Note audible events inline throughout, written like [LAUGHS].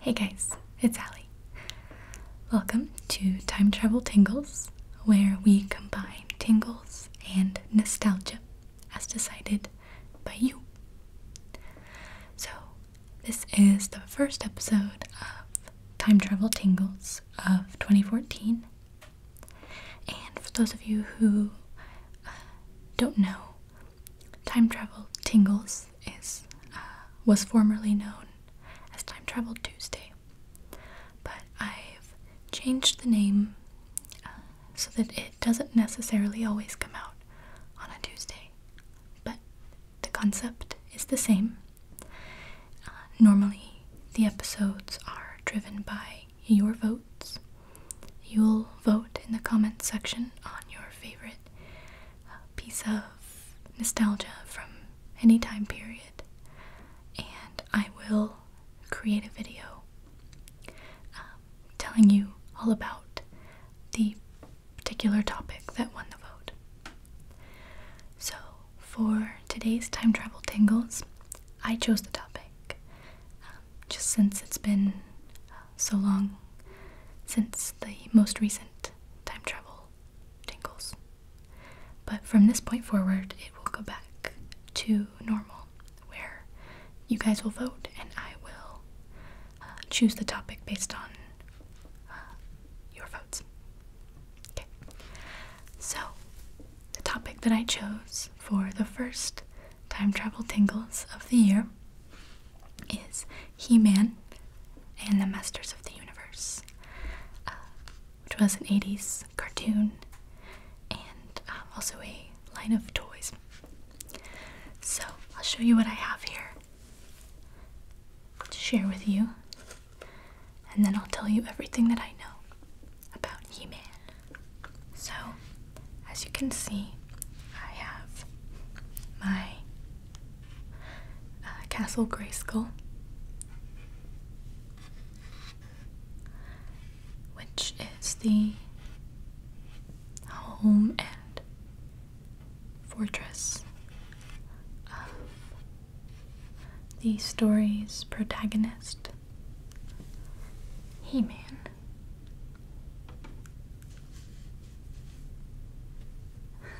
Hey guys, it's Allie. Welcome to Time Travel Tingles, where we combine tingles and nostalgia as decided by you. So, this is the first episode of Time Travel Tingles of 2014. And for those of you who uh, don't know, Time Travel Tingles is uh, was formerly known as Time Travel Tuesday, but I've changed the name uh, so that it doesn't necessarily always come out on a Tuesday, but the concept is the same. Uh, normally, the episodes are driven by your votes. You'll vote in the comments section on your favorite uh, piece of nostalgia from any time period, and I will create a video uh, telling you all about the particular topic that won the vote. So, for today's time travel tingles, I chose the topic um, just since it's been uh, so long since the most recent time travel tingles. But from this point forward, it will go back to normal, where you guys will vote and I will uh, choose the topic based on uh, your vote. Okay. So, the topic that I chose for the first time travel tingles of the year is He Man and the Masters of the Universe, uh, which was an 80s cartoon and uh, also a line of toys. So, I'll show you what I have here to share with you and then I'll tell you everything that I know about him. So, as you can see, I have my uh, Castle Grayskull, which is the home and fortress of the story's protagonist, He Man.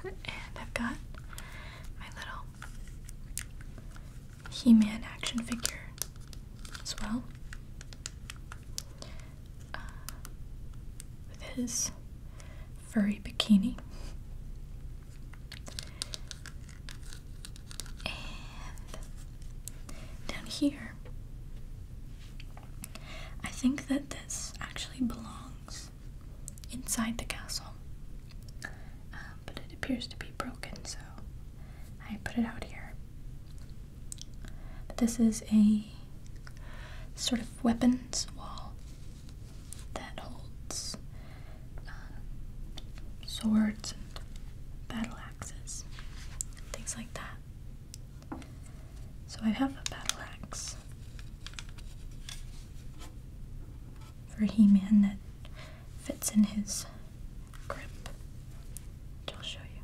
and I've got my little He Man action figure as well. Uh, with his furry bikini. And down here, I think that this actually belongs inside the castle, um, but it appears to be broken, so I put it out here. But this is a sort of weapons wall that holds uh, swords and battle axes, and things like that. So I have a battle axe for He-Man that fits in his grip, which I'll show you.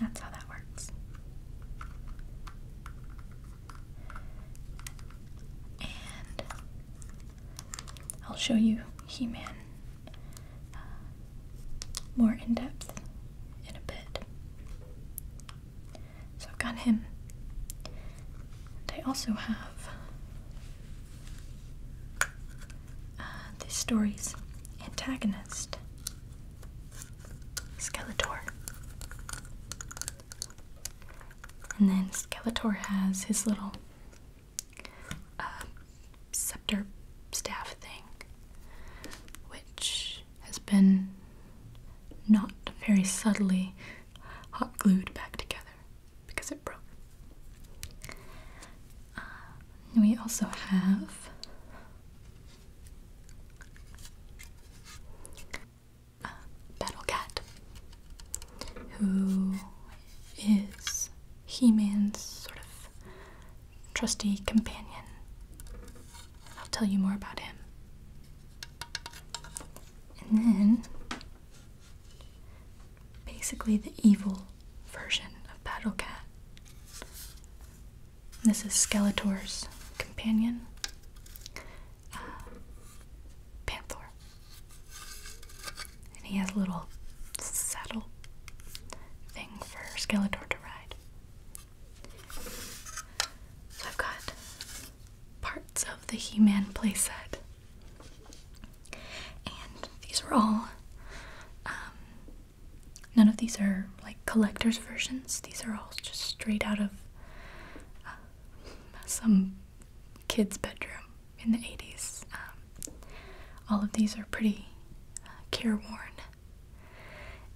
That's how that works. And I'll show you He Man uh, more in depth in a bit. So I've got him. And I also have uh, the story's antagonist, Skeletor. And then Skeletor has his little uh, scepter staff thing, which has been not very subtly hot glued back together because it broke. Uh, we also have Battle Cat, who is He Man's sort of trusty companion. I'll tell you more about him. And then, basically, the evil version of Battle Cat this is Skeletor's companion, uh, Panther. And he has a little saddle thing for Skeletor to ride. So I've got parts of the He Man playset. And these are all um, None of these are like collector's versions. These are all just straight out of uh, some kid's bedroom in the 80s. Um, all of these are pretty uh, careworn.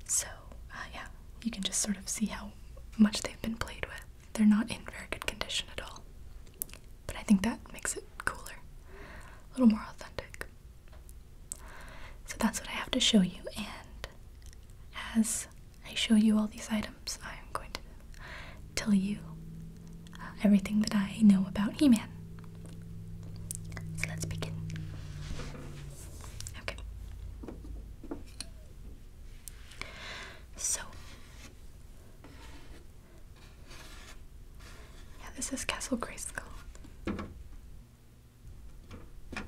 So, uh, yeah, you can just sort of see how much they've been played with. They're not in very good condition at all. But I think that makes it cooler, a little more authentic. So that's what I have to show you, and as I show you all these items, I'm going to tell you uh, everything that I know about He Man. So let's begin. Okay. So, yeah, this is Castle Grayskull. And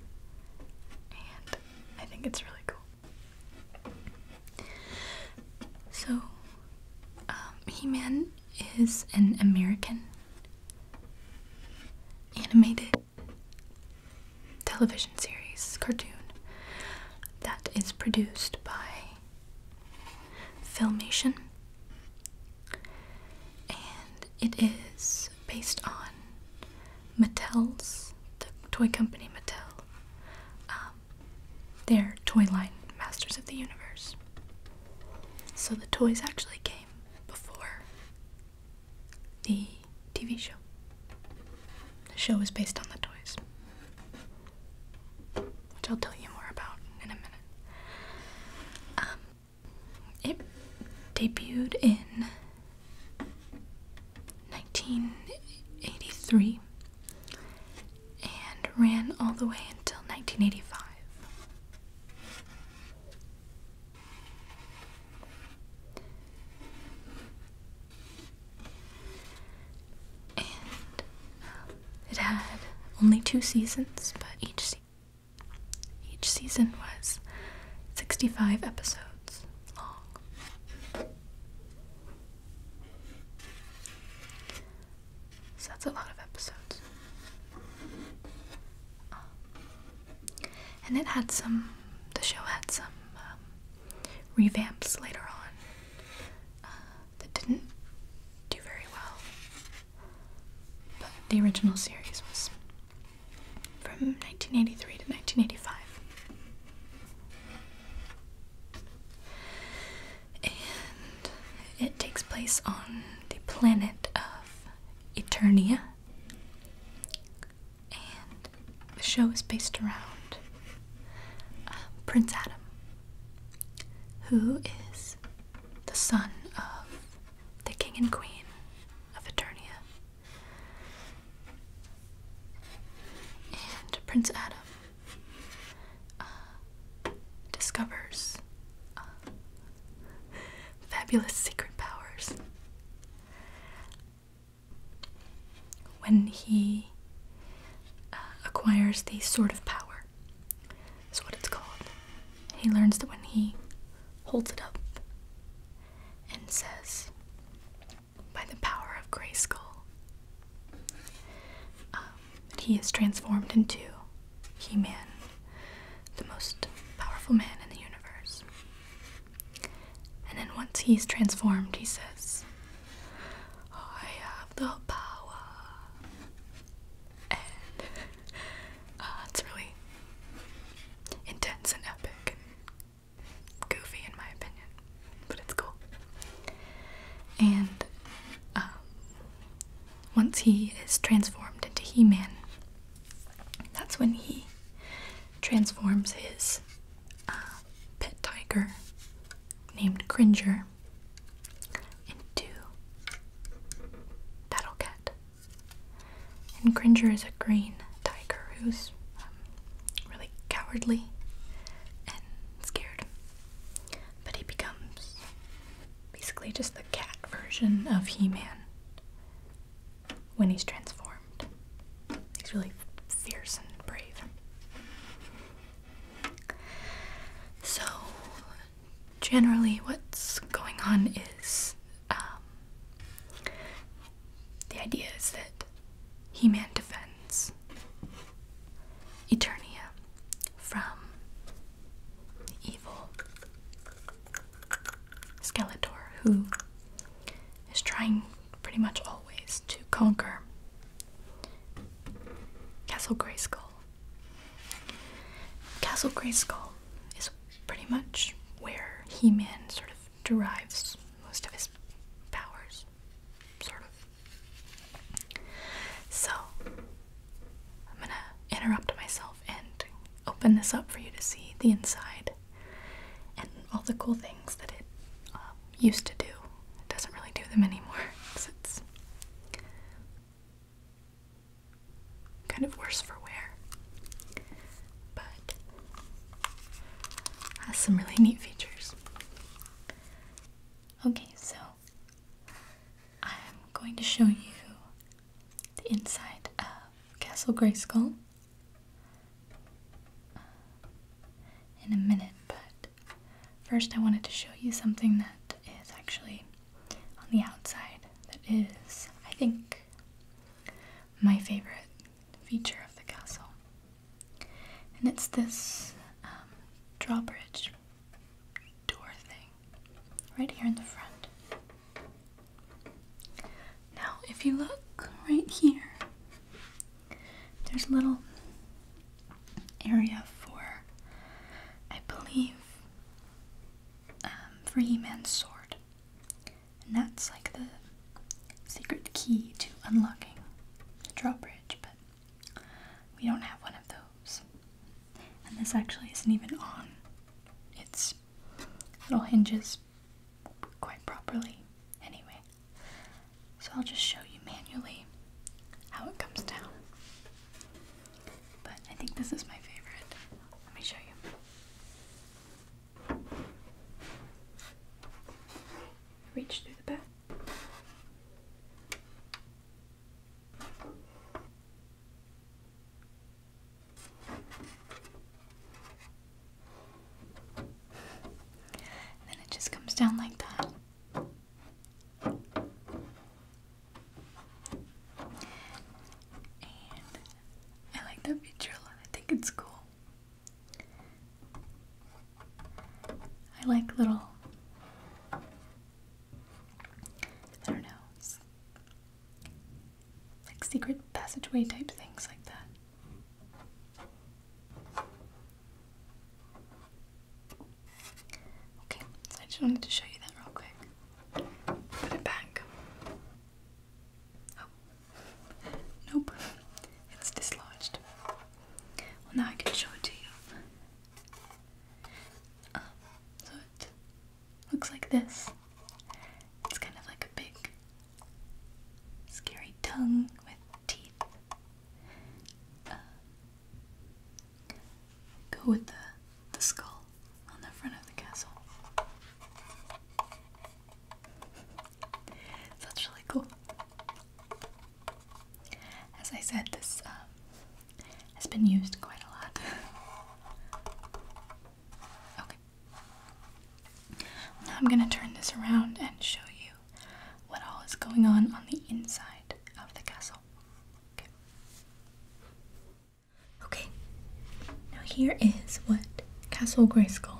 I think it's really cool. So, um, He Man is an American animated television series cartoon that is produced by Filmation. And it is based on Mattel's, the toy company Mattel, um, their toy line Masters of the Universe. So the toys actually came before the TV show. The show is based on the toys, which I'll tell you more about in a minute. Um, it debuted in 1983 and ran all the way until 1985. And it had only two seasons, but each season each season was 65 episodes long. So that's a lot of episodes. Um, and it had some, the show had some um, revamps later on uh, that didn't do very well. But the original series was from 1983 to 1985. And it takes place on the planet of Eternia. And the show is based around um, Prince Adam, who is the son of the king and queen of Eternia, and Prince Adam uh, discovers uh, fabulous secret powers when he uh, acquires the Sword of Power, is what it's called. He learns that when he holds it up and says, By the power of Grayskull, that um, he is transformed into He Man, the most powerful man in the universe. And then once he's transformed, he says, I have the power. And [LAUGHS] uh, really intense and epic and goofy in my opinion, but it's cool. And um, once he is transformed into He Man, that's when he transforms his uh, pet tiger named Cringer into Battlecat. And Gringer is a green tiger who's um, really cowardly and scared. But he becomes basically just the cat version of He Man when he's transformed. He's really fierce and brave. So, generally, what's going on is um, the idea is that He Man defends Eternia from evil Skeletor, who is trying pretty much always to conquer Castle Grey Skull. Castle Grey Skull is pretty much where He Man sort of derives most of his powers, sort of. So, I'm gonna interrupt myself and open this up for you to see the inside and all the cool things that it um, used to do. It doesn't really do them anymore because [LAUGHS] it's kind of worse for wear. But has some really neat features. Okay, so I'm going to show you the inside of Castle Grayskull uh, in a minute, but first I wanted to show you something that is actually on the outside that is, I think, my favorite feature of the castle. And it's this um, drawbridge door thing right here in the front. Now, if you look right here, there's a little area for, I believe, um, for He Man's sword. And that's like the secret key to unlocking the drawbridge, but we don't have one of those. And this actually isn't even on its little hinges quite properly, anyway. So I'll just show you manually how it comes down. But I think this is my favorite. Let me show you. Reach through the back. then it just comes down like that. And I like that picture a lot. I think it's cool. I like little I don't know like secret passageway type things like that. Okay, I just wanted to show you that real quick. Put it back. Oh. nope, it's dislodged. Well, now I can show it to you. Uh, so it looks like this. It's kind of like a big, scary tongue with teeth. Uh, go with the the skull on the front of the castle that's really cool. As I said, this um, has been used quite a lot. okay. I'm going to turn this around and show you what all is going on on the inside of the castle. Okay. Okay. Now here is what Castle Grey Grayskull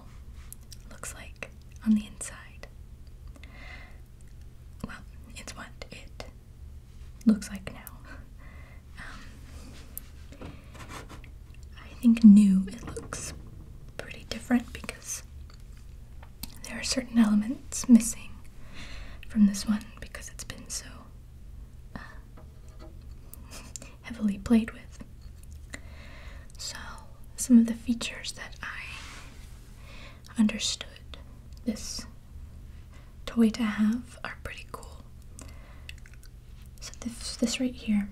looks like on the inside. Well, it's what it looks like now. [LAUGHS] Um, I think new it looks pretty different because there are certain elements missing from this one because it's been so uh, [LAUGHS] heavily played with. So, some of the features that I understood this toy to have are pretty cool. So, this, this right here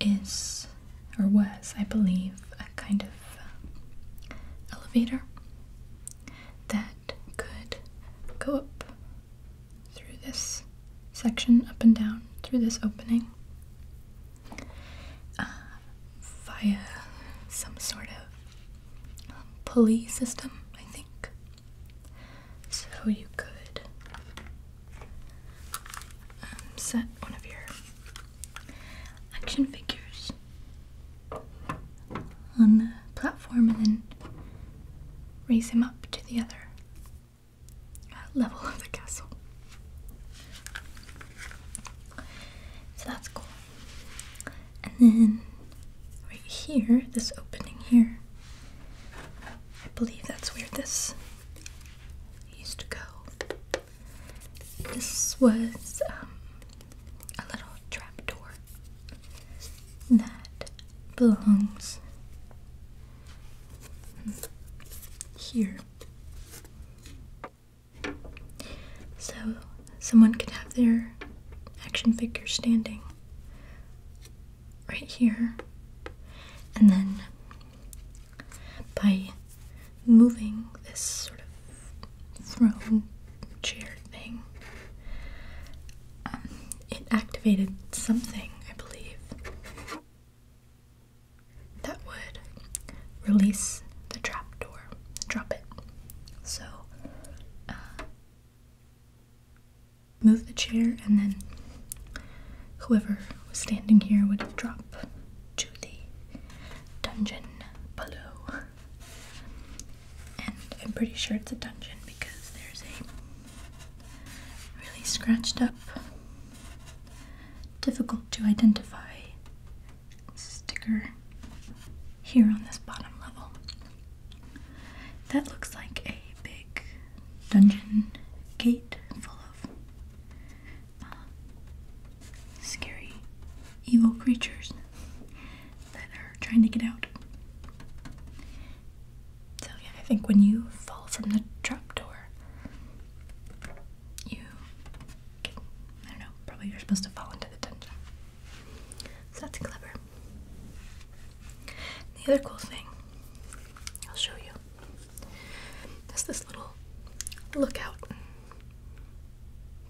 is, or was, I believe, a kind of uh, elevator that could go up through this section, up and down through this opening, uh, via some sort of pulley system, I think. So you could um, set one of your action figures on the platform and then raise him up to the other level of the castle. So that's cool. And then right here, this opening here, I believe that's where this used to go. This was um, a little trap door that belongs here. So someone could have their action figure standing right here, and then by moving this sort of throne chair thing, um, it activated something, I believe that would release the trap door. drop it. So, uh, move the chair, and then whoever was standing here would drop to the dungeon below. And I'm pretty sure it's a dungeon because there's a really scratched up, difficult to identify sticker here on this bottom level. That looks like a big dungeon gate full of uh, scary evil creatures that are trying to get out. So, yeah, I think when you fall from the trapdoor, you I don't know, probably you're supposed to fall into the dungeon. So that's clever. The other cool thing I'll show you is this little lookout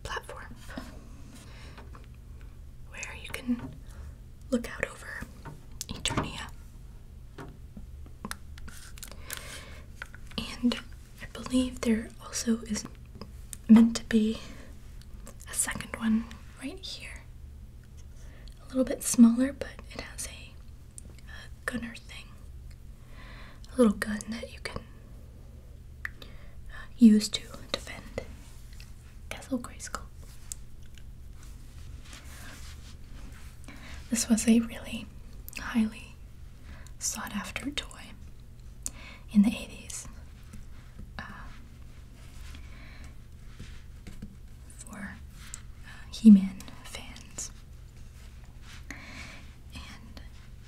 platform where you can look out over Eternia and I believe there also is meant to be a second one right here. A little bit smaller, but it has a, gunner thing. A little gun that you can uh, use to defend Castle Grayskull. This was a really highly sought after toy in the 80s uh, for uh, He Man fans. And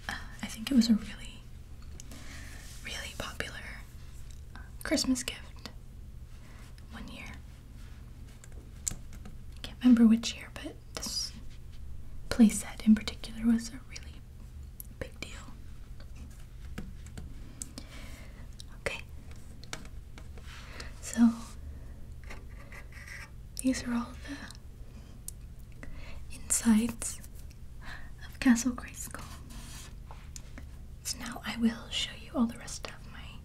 uh, I think it was a really, really popular Christmas gift one year. I can't remember which year, but this playset in particular was a really big deal. Okay. So these are all the insides of Castle Grey School. So now I will show you all the rest of my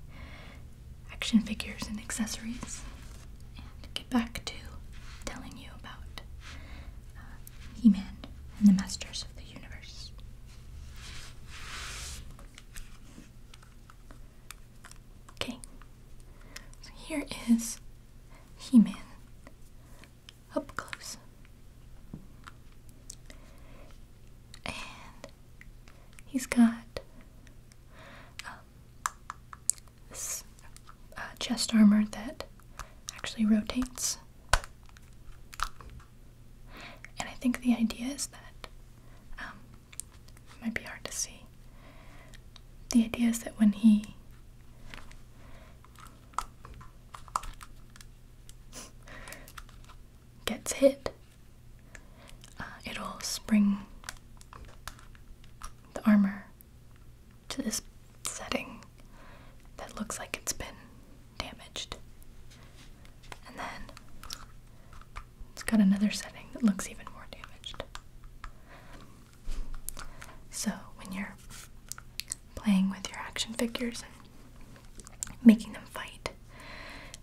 action figures and accessories and get back to telling you about uh, He Man and the Masters of the Universe. Okay, here is He Man up close. And he's got this uh, chest armor that actually rotates. And I think the idea is that, um, might be hard to see. The idea is that when he [LAUGHS] gets hit, uh, it'll spring the armor to this setting that looks like it's been damaged. And then it's got another setting that looks even more damaged. So when you're playing with your action figures and making them fight,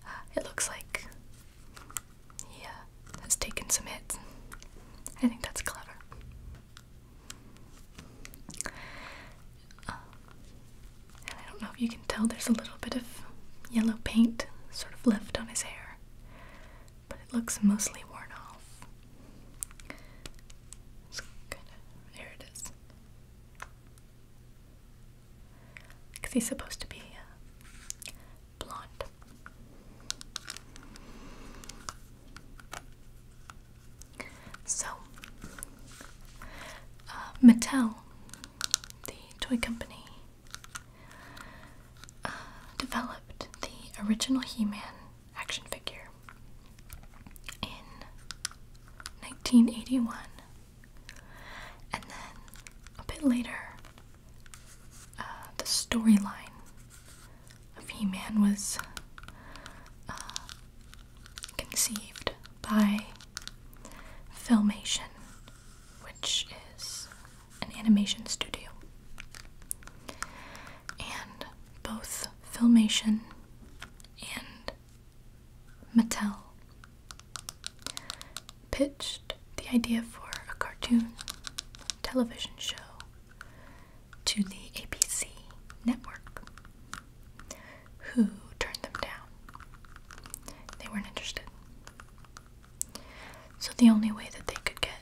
uh, it looks like yeah, uh, has taken some hits. I think that's clever. Um, and I don't know if you can tell, there's a little bit of yellow paint sort of left on his hair, but it looks mostly worn off. It's kinda, there it is. Because he's supposed to be uh, blonde. So, uh, Mattel, the toy company, uh, developed the original He Man action figure in 1981, and then a bit later uh, the storyline of He-Man was uh, conceived by Filmation, which is an animation studio, and both Filmation and Mattel pitched the idea for a cartoon television show to the ABC network, who turned them down. They weren't interested. So the only way that they could get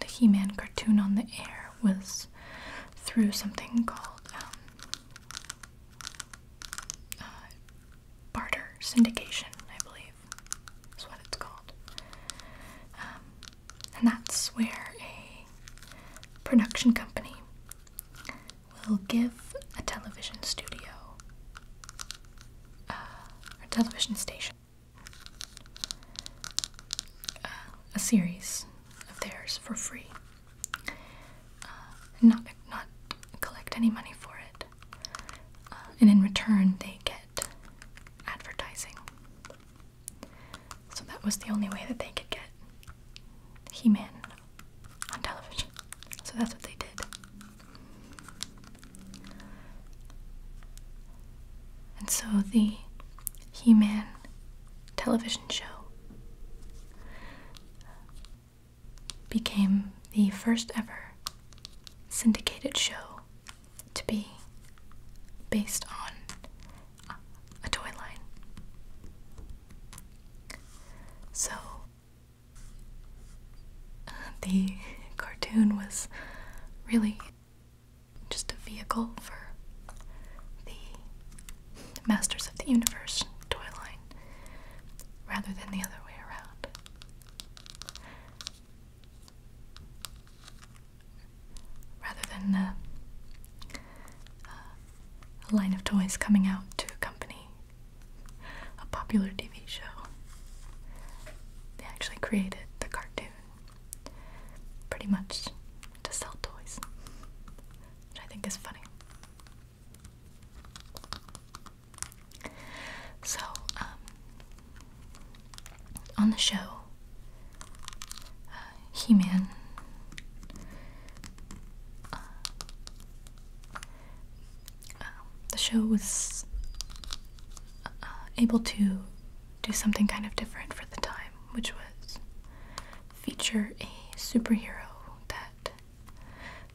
the He Man cartoon on the air was through something called um, uh, barter syndication, I believe is what it's called. Um, and that's where a production company will give a television studio uh, or television station uh, a series of theirs for free. Uh, and not not collect any money for it, uh, and in return, they get advertising. So that was the only way that they could get He Man on television. So that's what they did. And so the He Man television show became the first ever syndicated show to be based on a toy line. So the cartoon was really just a vehicle for the Masters of the Universe toy line rather than the other way around rather than uh, a line of toys coming out to accompany a popular TV show. They actually created the cartoon pretty much to sell toys, which I think is funny. So, um, on the show, uh, He Man uh, um, the show was uh, able to do something kind of different for the time, which was feature a superhero that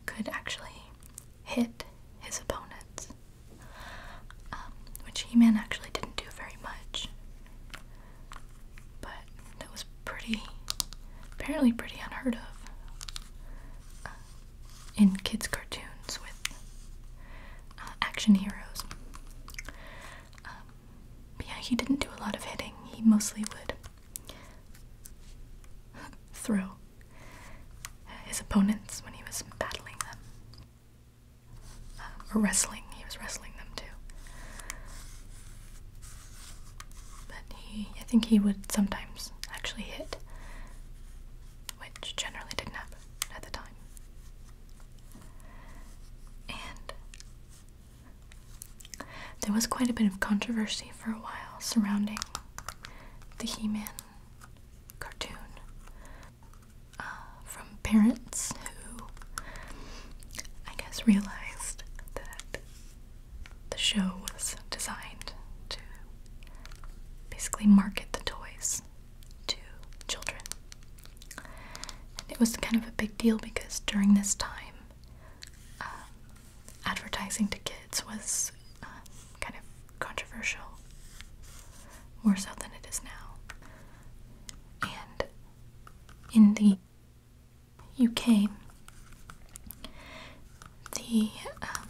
could actually hit his opponents, um, which He Man actually didn't do very much. But that was pretty, apparently, pretty unheard of uh, in kids' cartoons with uh, action heroes. Um, but yeah, he didn't do a lot of hitting, he mostly would [LAUGHS] throw his opponents when he was battling them or wrestling. He was wrestling them too. But he, I think he would sometimes actually hit, which generally didn't happen at the time. And there was quite a bit of controversy for a while surrounding the He Man cartoon uh, from parents who I guess realized that the show was designed to basically market the toys to children. And it was kind of a big deal because during this time, um, advertising to kids was uh, kind of controversial, more so than it is now. And in the UK, the um,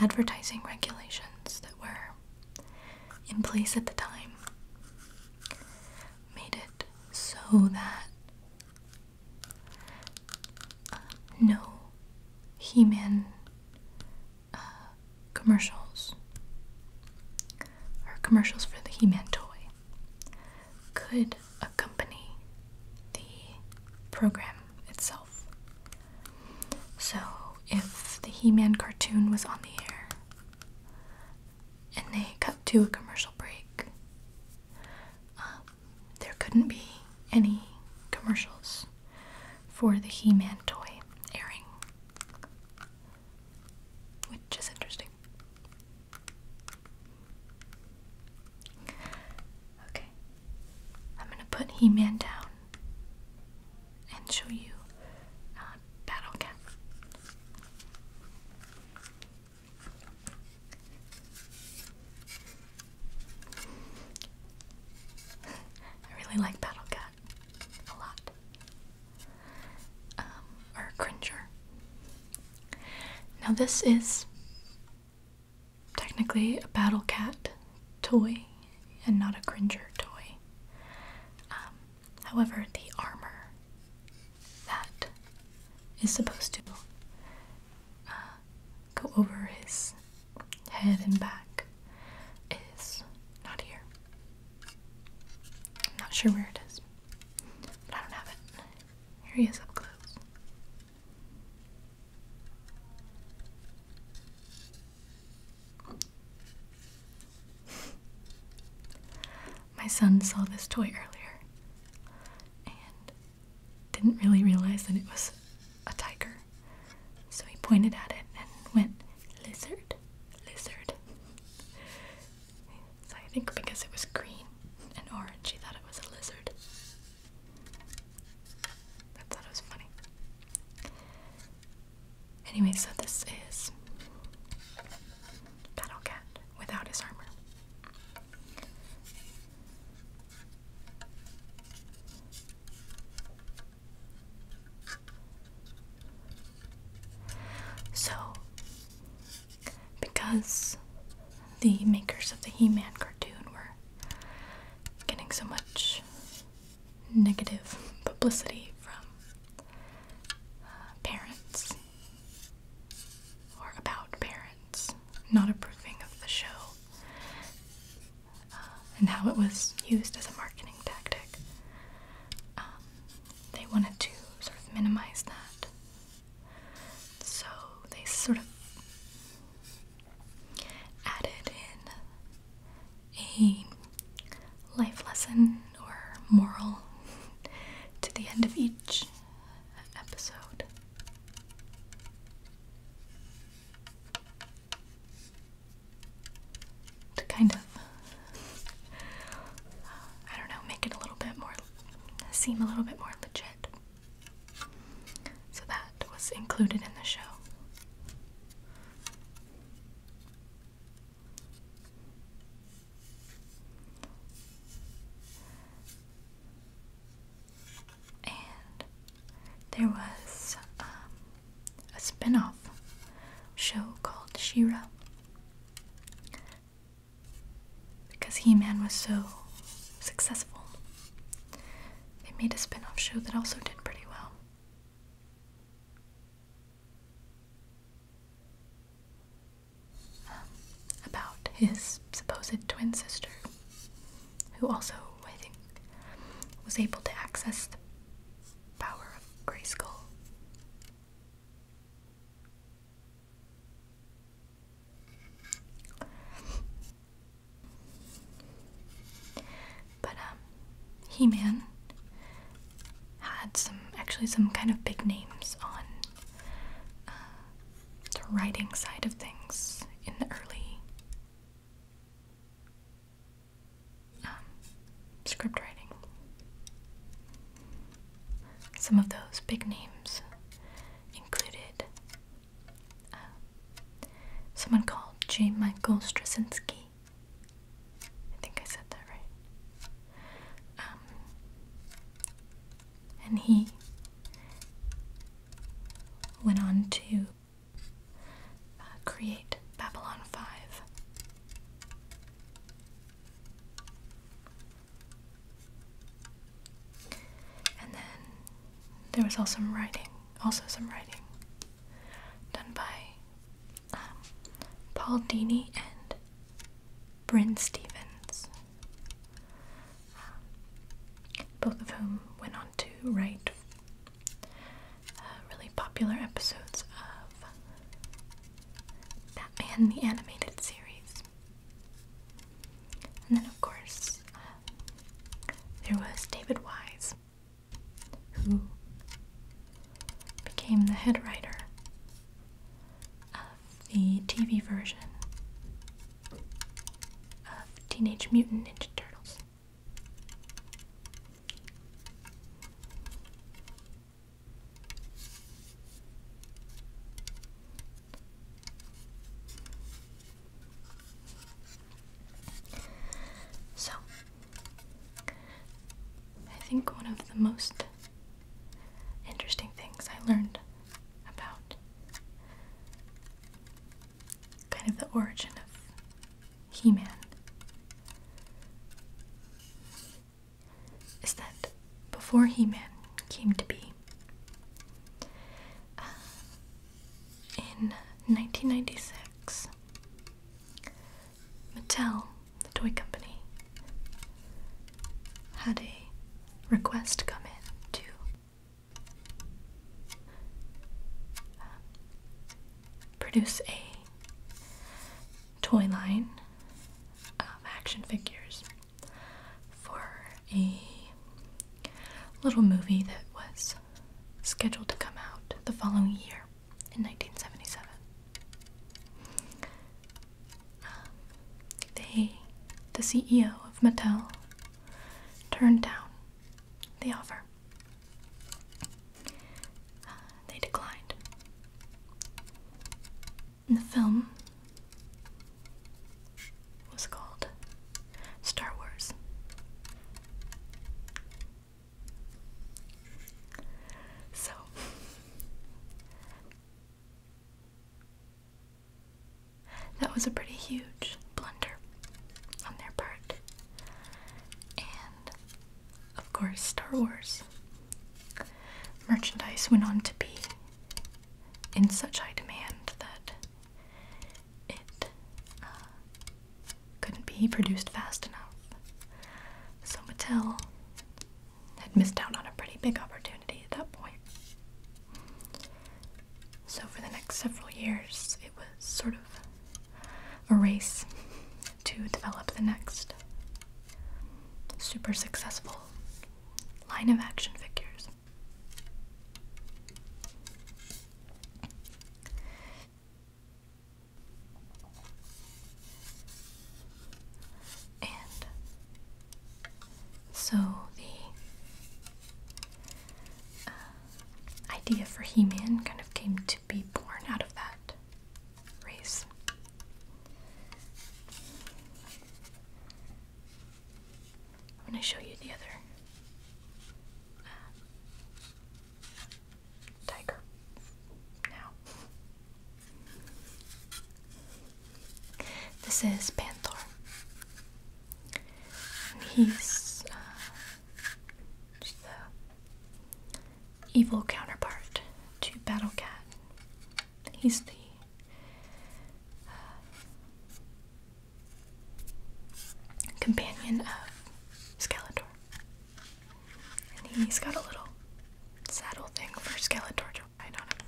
advertising regulations that were in place at the time made it so that uh, no He Man commercials or commercials for the He Man toy could accompany the program itself. So if the He Man cartoon was on the air and they cut to a commercial break, um, there couldn't be any commercials for the He-Man toy airing, which is interesting. Okay, I'm gonna put He-Man down and show you uh, Battle Cat. I really like Battle Cat a lot. Um, or Cringer. Now, this is technically a Battle Cat toy and not a Cringer toy. Um, however, the armor that is supposed to uh, go over his head and back is not here. I'm not sure where it is, but I don't have it. Here he is up close. My son saw this toy earlier and didn't really realize that it was a tiger. So he pointed at it and went, Lizard, lizard. I think because it was green and orange, he thought it was a lizard. I thought it was funny. Anyway, so this is Battle Cat without his armor. So, because the makers of the He Man cartoon were getting so much negative publicity from uh, parents or about parents not approving of the show, uh, and how it was used as a marketing tactic. Um, they wanted to sort of minimize that. So they sort of added in a life lesson or moral to the end of each episode to kind of, uh, I don't know, make it a little bit more, seem a little bit more legit. So that was included in the show. And there was um, a spin-off show called Shira because He-Man was so successful. They made a spin-off show that also did pretty well. Um, about his supposed twin sister, who also, I think, was able to access the Power of Grayskull. But um He-Man had some actually some kind of big names on uh, the writing side of things in the early um, script writing. Some of those big names included um, someone called J. Michael Straczynski. I think I said that right. Um, and he went on to uh, create Babylon 5. And then there was also some writing, also some writing done by um, Paul Dini and Bryn Stevens, um, both of whom went on to write uh, really popular episodes of Batman the Animated Series. And then, of course, uh, there was David Wise, who became the head writer of the TV version of Teenage Mutant Ninja Turtles. So, I think one of the most interesting things I learned about kind of the origin of He Man is that before He Man came to be, uh, in 1996, Mattel, the toy company, had a request come in to uh, produce a toy line of action figures for a little movie that was scheduled to come out the following year in 1977. Um, they, the CEO of Mattel, turned down the offer they declined. the film was called Star Wars. So. That was a pretty huge blunder on their part. And of course, Star Wars. Merchandise went on to be in such high demand that it uh, couldn't be produced fast enough. So Mattel had missed out on a pretty big opportunity at that point. So for the next several years, it was sort of a race to develop the next super successful line of action figures. And so the uh, idea for He Man kind of came to be born out of that race. I'm show you the other uh, tiger now. This is Panther. He's uh, just the evil counterpart to Battle Cat. He's the uh, companion of Skeletor. And he's got a little saddle thing for Skeletor to ride on him.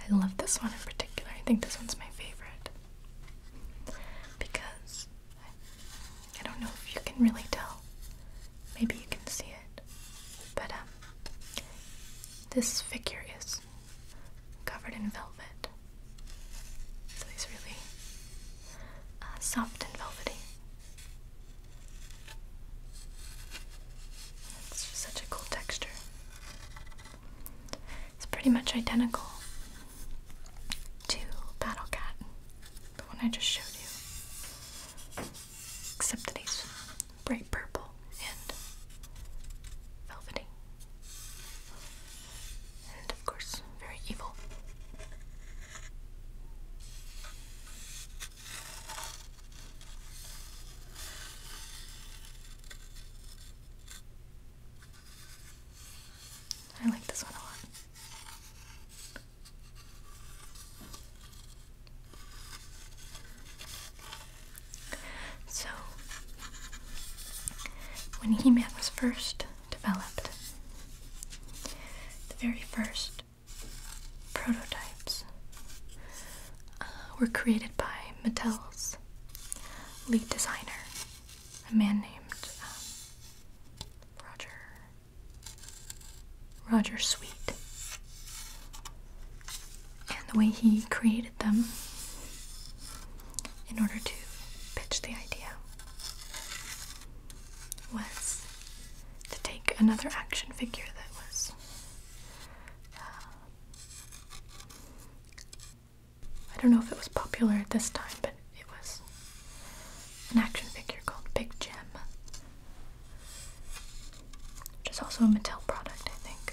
I love this one in particular. I think this one's my favorite because I, don't know if you can really tell. Maybe you can see it, but um, this figure is covered in velvet. So he's really uh, soft and velvety. It's such a cool texture. It's pretty much identical to Battle Cat, the one I just showed you, except that he's bright purple and velvety and of course, very evil. I like this one a lot. So, when He met us first developed. The very first prototypes uh, were created by Mattel's lead designer, a man named um, Roger Roger Sweet. And the way he created them in order to pitch the idea was to take another action figure that was uh, I don't know if it was popular at this time, but it was an action figure called Big Jim, which is also a Mattel product, I think.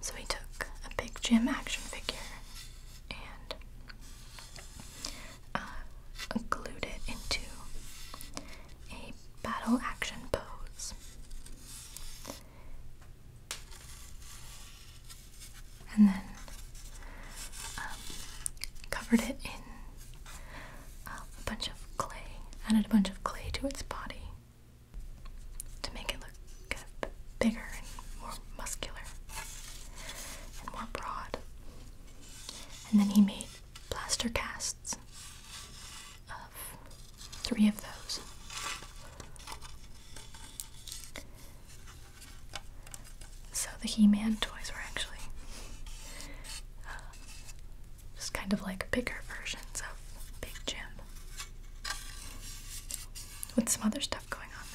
So he took a big Jim action figure and uh, glued it into a battle action pose. And then um, covered it in uh, a bunch of clay, added a bunch of clay to its body, to make it look bigger and more muscular and more broad. And then he made plaster casts of three of those. So the He Man toys were actually uh, just kind of like bigger versions of Big Jim with some other stuff going on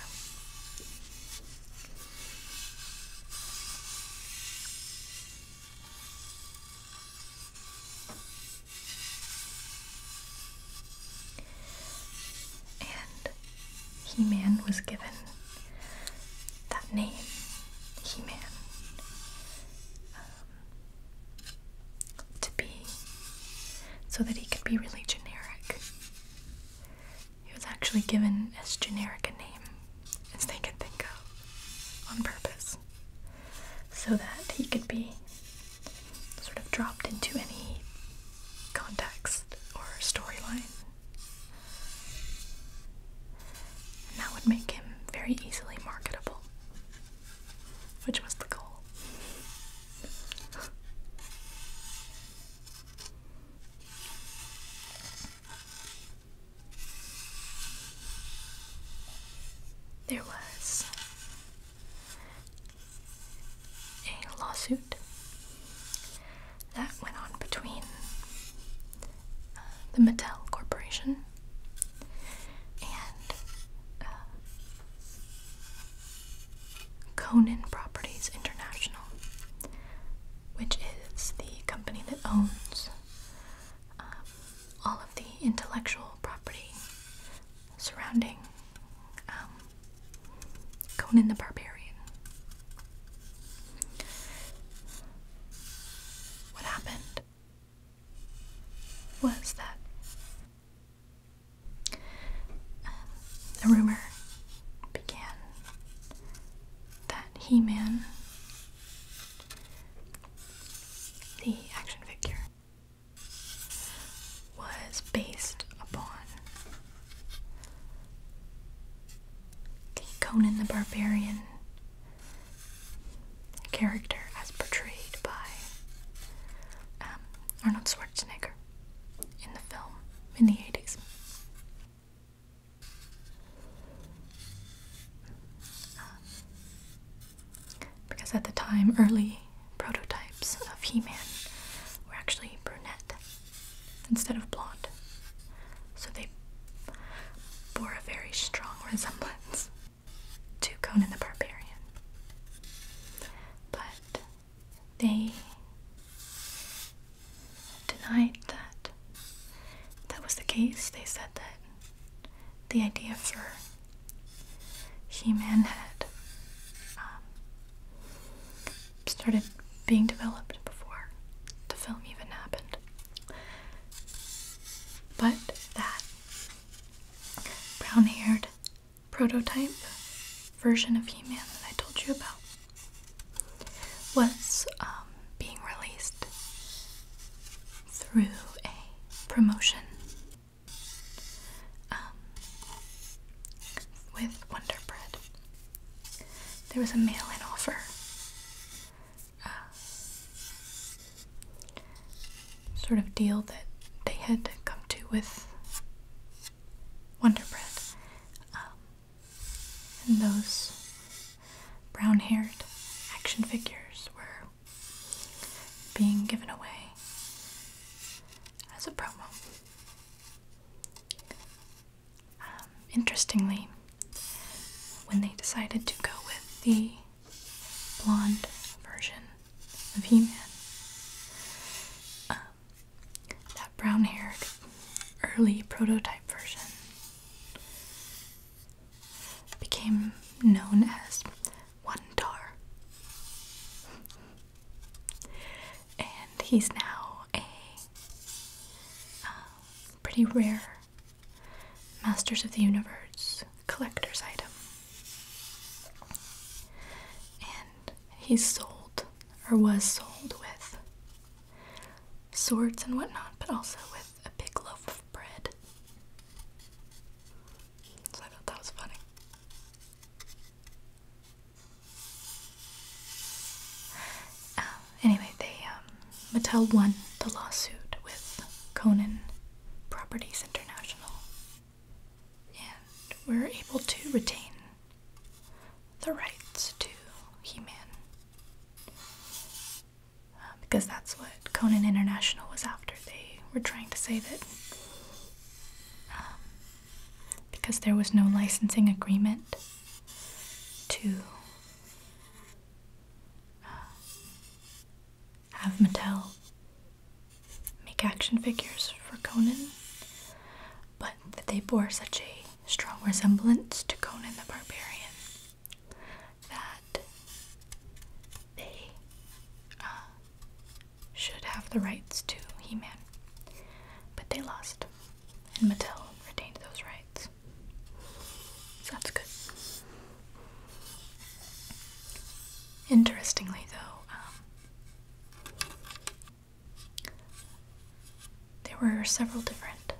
though. And He Man was given that name, He Man to be so that he could be really generic. He was actually given as generic a name as they could think of on purpose so that he could be sort of dropped into any context or storyline. And that would make him very easily marketable, which was the goal. There was a lawsuit that went on between uh, the Mattel Corporation and uh, Conan Properties International, which is the company that owns um, all of the intellectual property surrounding um, Conan the Barbarian. What happened was that the rumor began that He Man, the action figure, was based upon Conan the Barbarian character as portrayed by um, Arnold Schwarzenegger in the film in the 80s. because at the time, early prototypes of He Man were actually brunette instead of blonde. So they bore a very strong resemblance to Conan the Barbarian. But they denied that that was the case. They said that the idea for He Man had um, started being developed before the film even happened. But that brown haired prototype version of He Man that I told you about was um, being released through a promotion um, with Wonder Bread. There was a mail in offer. Uh, sort of deal that they had come to with Wonder Bread. Um, and those brown haired action figures were being given away as a promo. Um, interestingly, when they decided to go with the blonde version the He-Man. Um, that brown-haired early prototype version became known as One Tar. And he's now a um, pretty rare Masters of the Universe collector's item. He sold or was sold with swords and whatnot, but also with a big loaf of bread. So I thought that was funny. Um, anyway, they um, Mattel won the lawsuit with Conan Properties International and we're able to retain the rights to He Man. Uh, because that's what Conan International was after. They were trying to save it um, because there was no licensing agreement to uh, have Mattel make action figures for Conan, but that they bore such a strong resemblance to Conan the Barbarian that they uh, should have the rights to He Man. But they lost, and Mattel retained those rights. So that's good. Interestingly, though, um, there were several different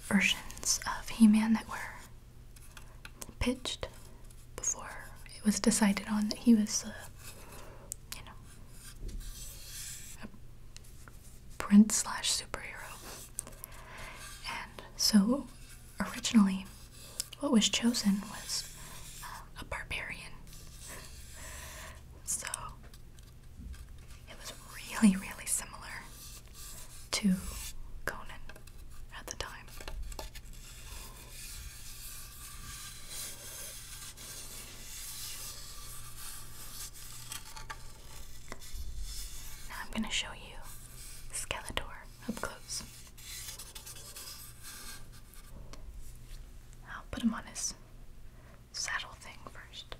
versions of He Man that were pitched before it was decided on that he was uh, you know, a prince slash superhero. And so originally what was chosen was um, a barbarian. so it was really, really similar to Conan at the time. Now I'm going to show you Skeletor up close. I'll put him on his saddle thing first.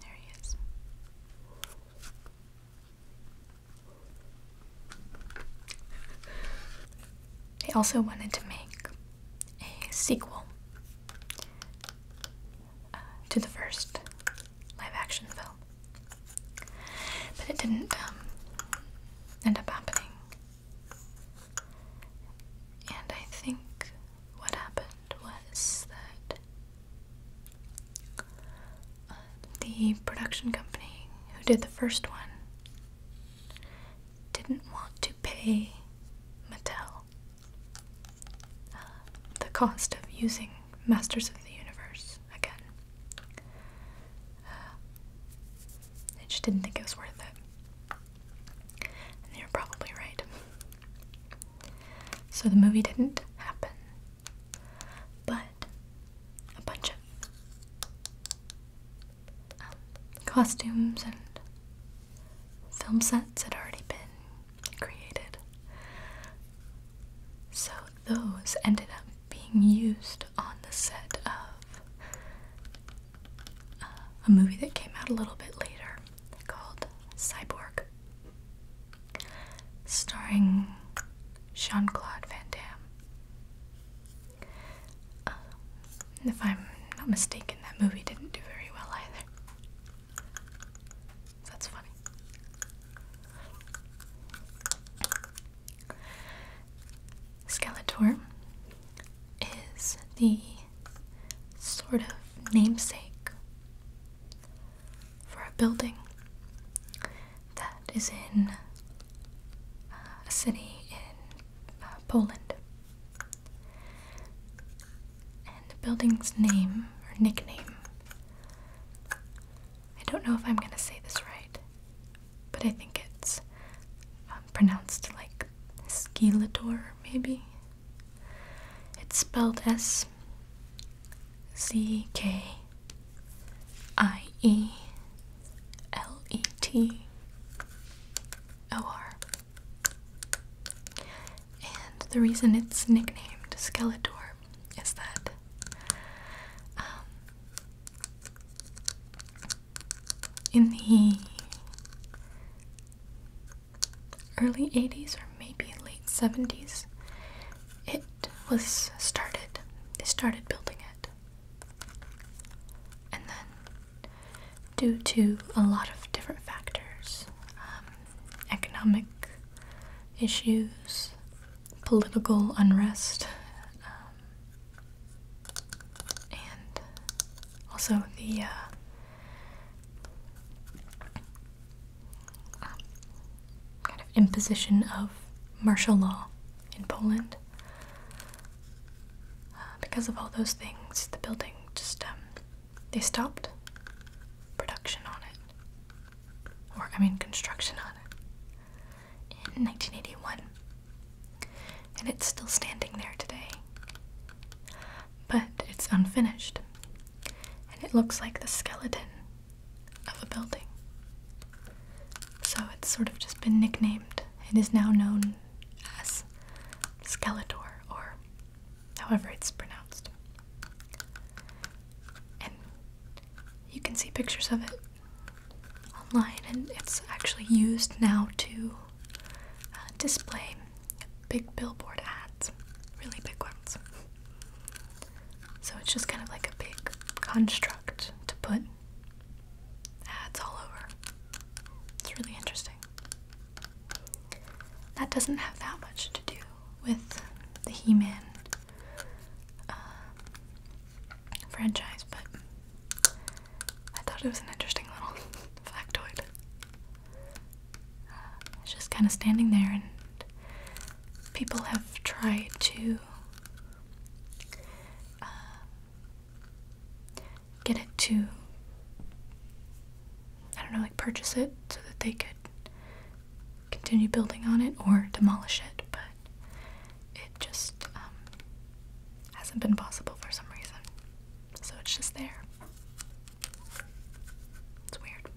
There he is they also wanted to make a sequel uh, to the first live action film. But it didn't um, end up happening. And I think what happened was that uh, the production company who did the first one didn't want to pay Mattel uh, the cost of using Masters of the Universe again. they uh, just didn't think it was worth it. And they were probably right. So the movie didn't happen. But a bunch of um, costumes and film sets had already been created. So those ended up being used on the set of uh, a movie that came out a little bit later called Cyborg starring Sean Claude Van Damme. Um, if I'm not mistaken, that movie didn't do very well either. That's funny. Skeletor is the sort of namesake for a building that is in uh, a city in uh, Poland. And the building's name or nickname, I don't know if I'm gonna say this right, but I think it's um, pronounced like Skeletor, maybe? It's spelled S C K I E L E T O R. And the reason it's nicknamed Skeletor is that um, in the early 80s or maybe late 70s, it was started. They started building it. And then, due to a lot of different factors um, economic issues, political unrest, um, and also the uh, kind of imposition of martial law in Poland. Uh, because of all those things, the building just um, they stopped production on it, or I mean construction on it, in 1981, and it's still standing there today. But it's unfinished, and it looks like the skeleton of a building. So it's sort of just been nicknamed. It is now known as Skeletor, or however it's pronounced. And you can see pictures of it online, and it's actually used now to uh, display big billboard ads, really big ones. So it's just kind of like a big construct to put ads all over. It's really interesting. That doesn't have that much to do with the He Man uh, franchise, but I thought it was an interesting little [LAUGHS] factoid. it's just kind of standing there, and people have tried to uh, get it to I don't know, like purchase it so that they could continue building on it or demolish it, but it just um, hasn't been possible for some reason. So it's just there. It's weird.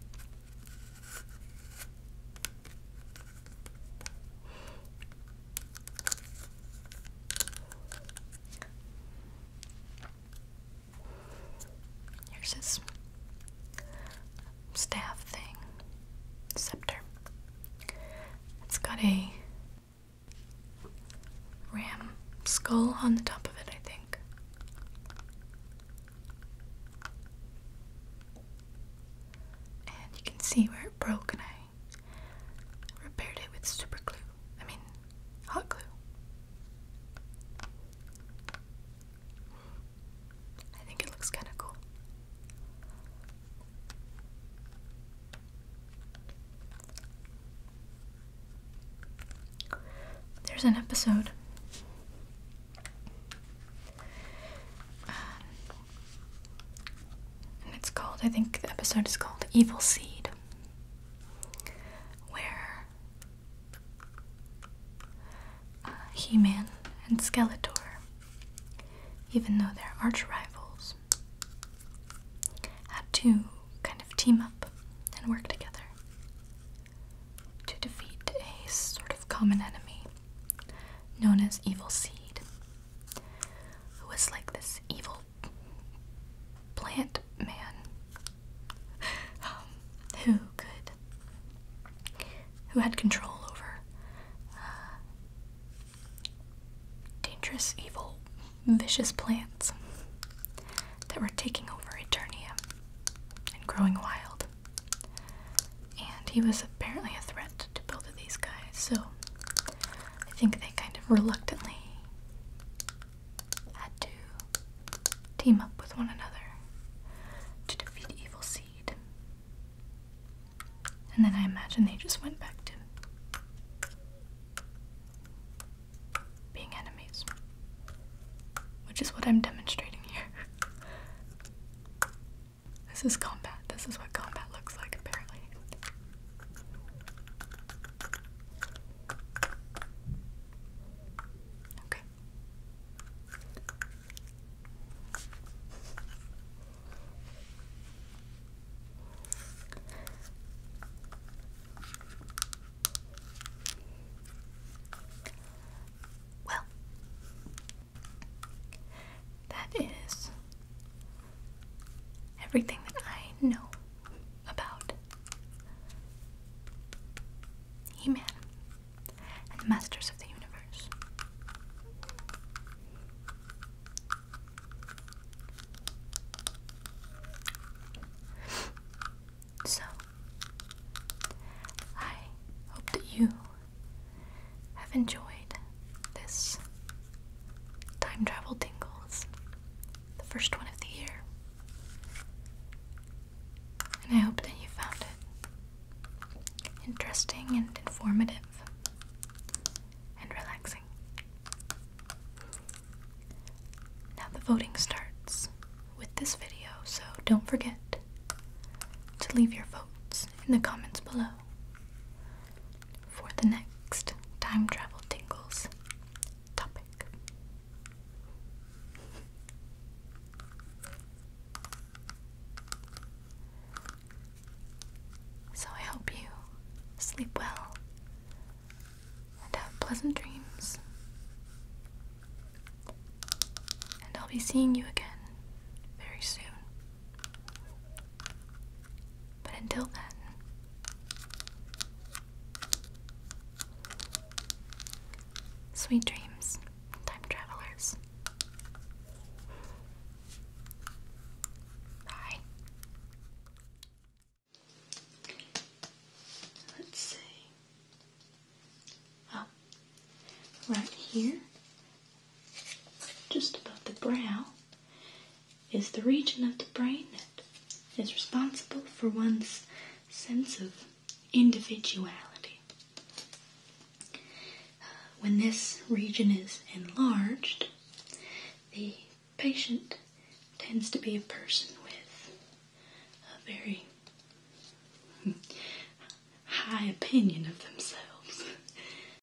Here's his staff thing, scepter. It's got a ram skull on the top of it, I think and you can see where it broke and I repaired it with super glue. I mean, hot glue. I think it looks kind of cool. There's an episode um, and it's called, I think the episode is called Evil Seed, where uh, He Man and Skeletor, even though they're arch rivals, had to kind of team up and work together to defeat a sort of common enemy known as Evil Seed. Who was like this evil plant man um, who could who had control over uh, dangerous, evil, vicious plants that were taking over Eternia and growing wild and he was apparently a threat to both of these guys, so I think they kind of reluctantly had to team up with one another to defeat Evil Seed. And then I imagine they just went back to being enemies, which is what I'm demonstrating here. [LAUGHS] This is combat. This is what combat looks like, apparently. Okay. Well, that is everything that I know about He Man and the Masters of the Universe. So, I hope that you have enjoyed this time travel tingles, the first one of the year. And I hope that you found it interesting and informative and relaxing. Now the voting starts with this video, so don't forget to leave your votes in the comments below for the next time travel tingles topic. So I hope you sleep well and have pleasant dreams. And I'll be seeing you again very soon. But until then, sweet dreams, time travelers. Bye. Let's see. Oh, right here just above the brow is the region of the brain that is responsible for one's sense of individuality. Uh, when this region is enlarged, the patient tends to be a person with a very [LAUGHS] high opinion of themselves.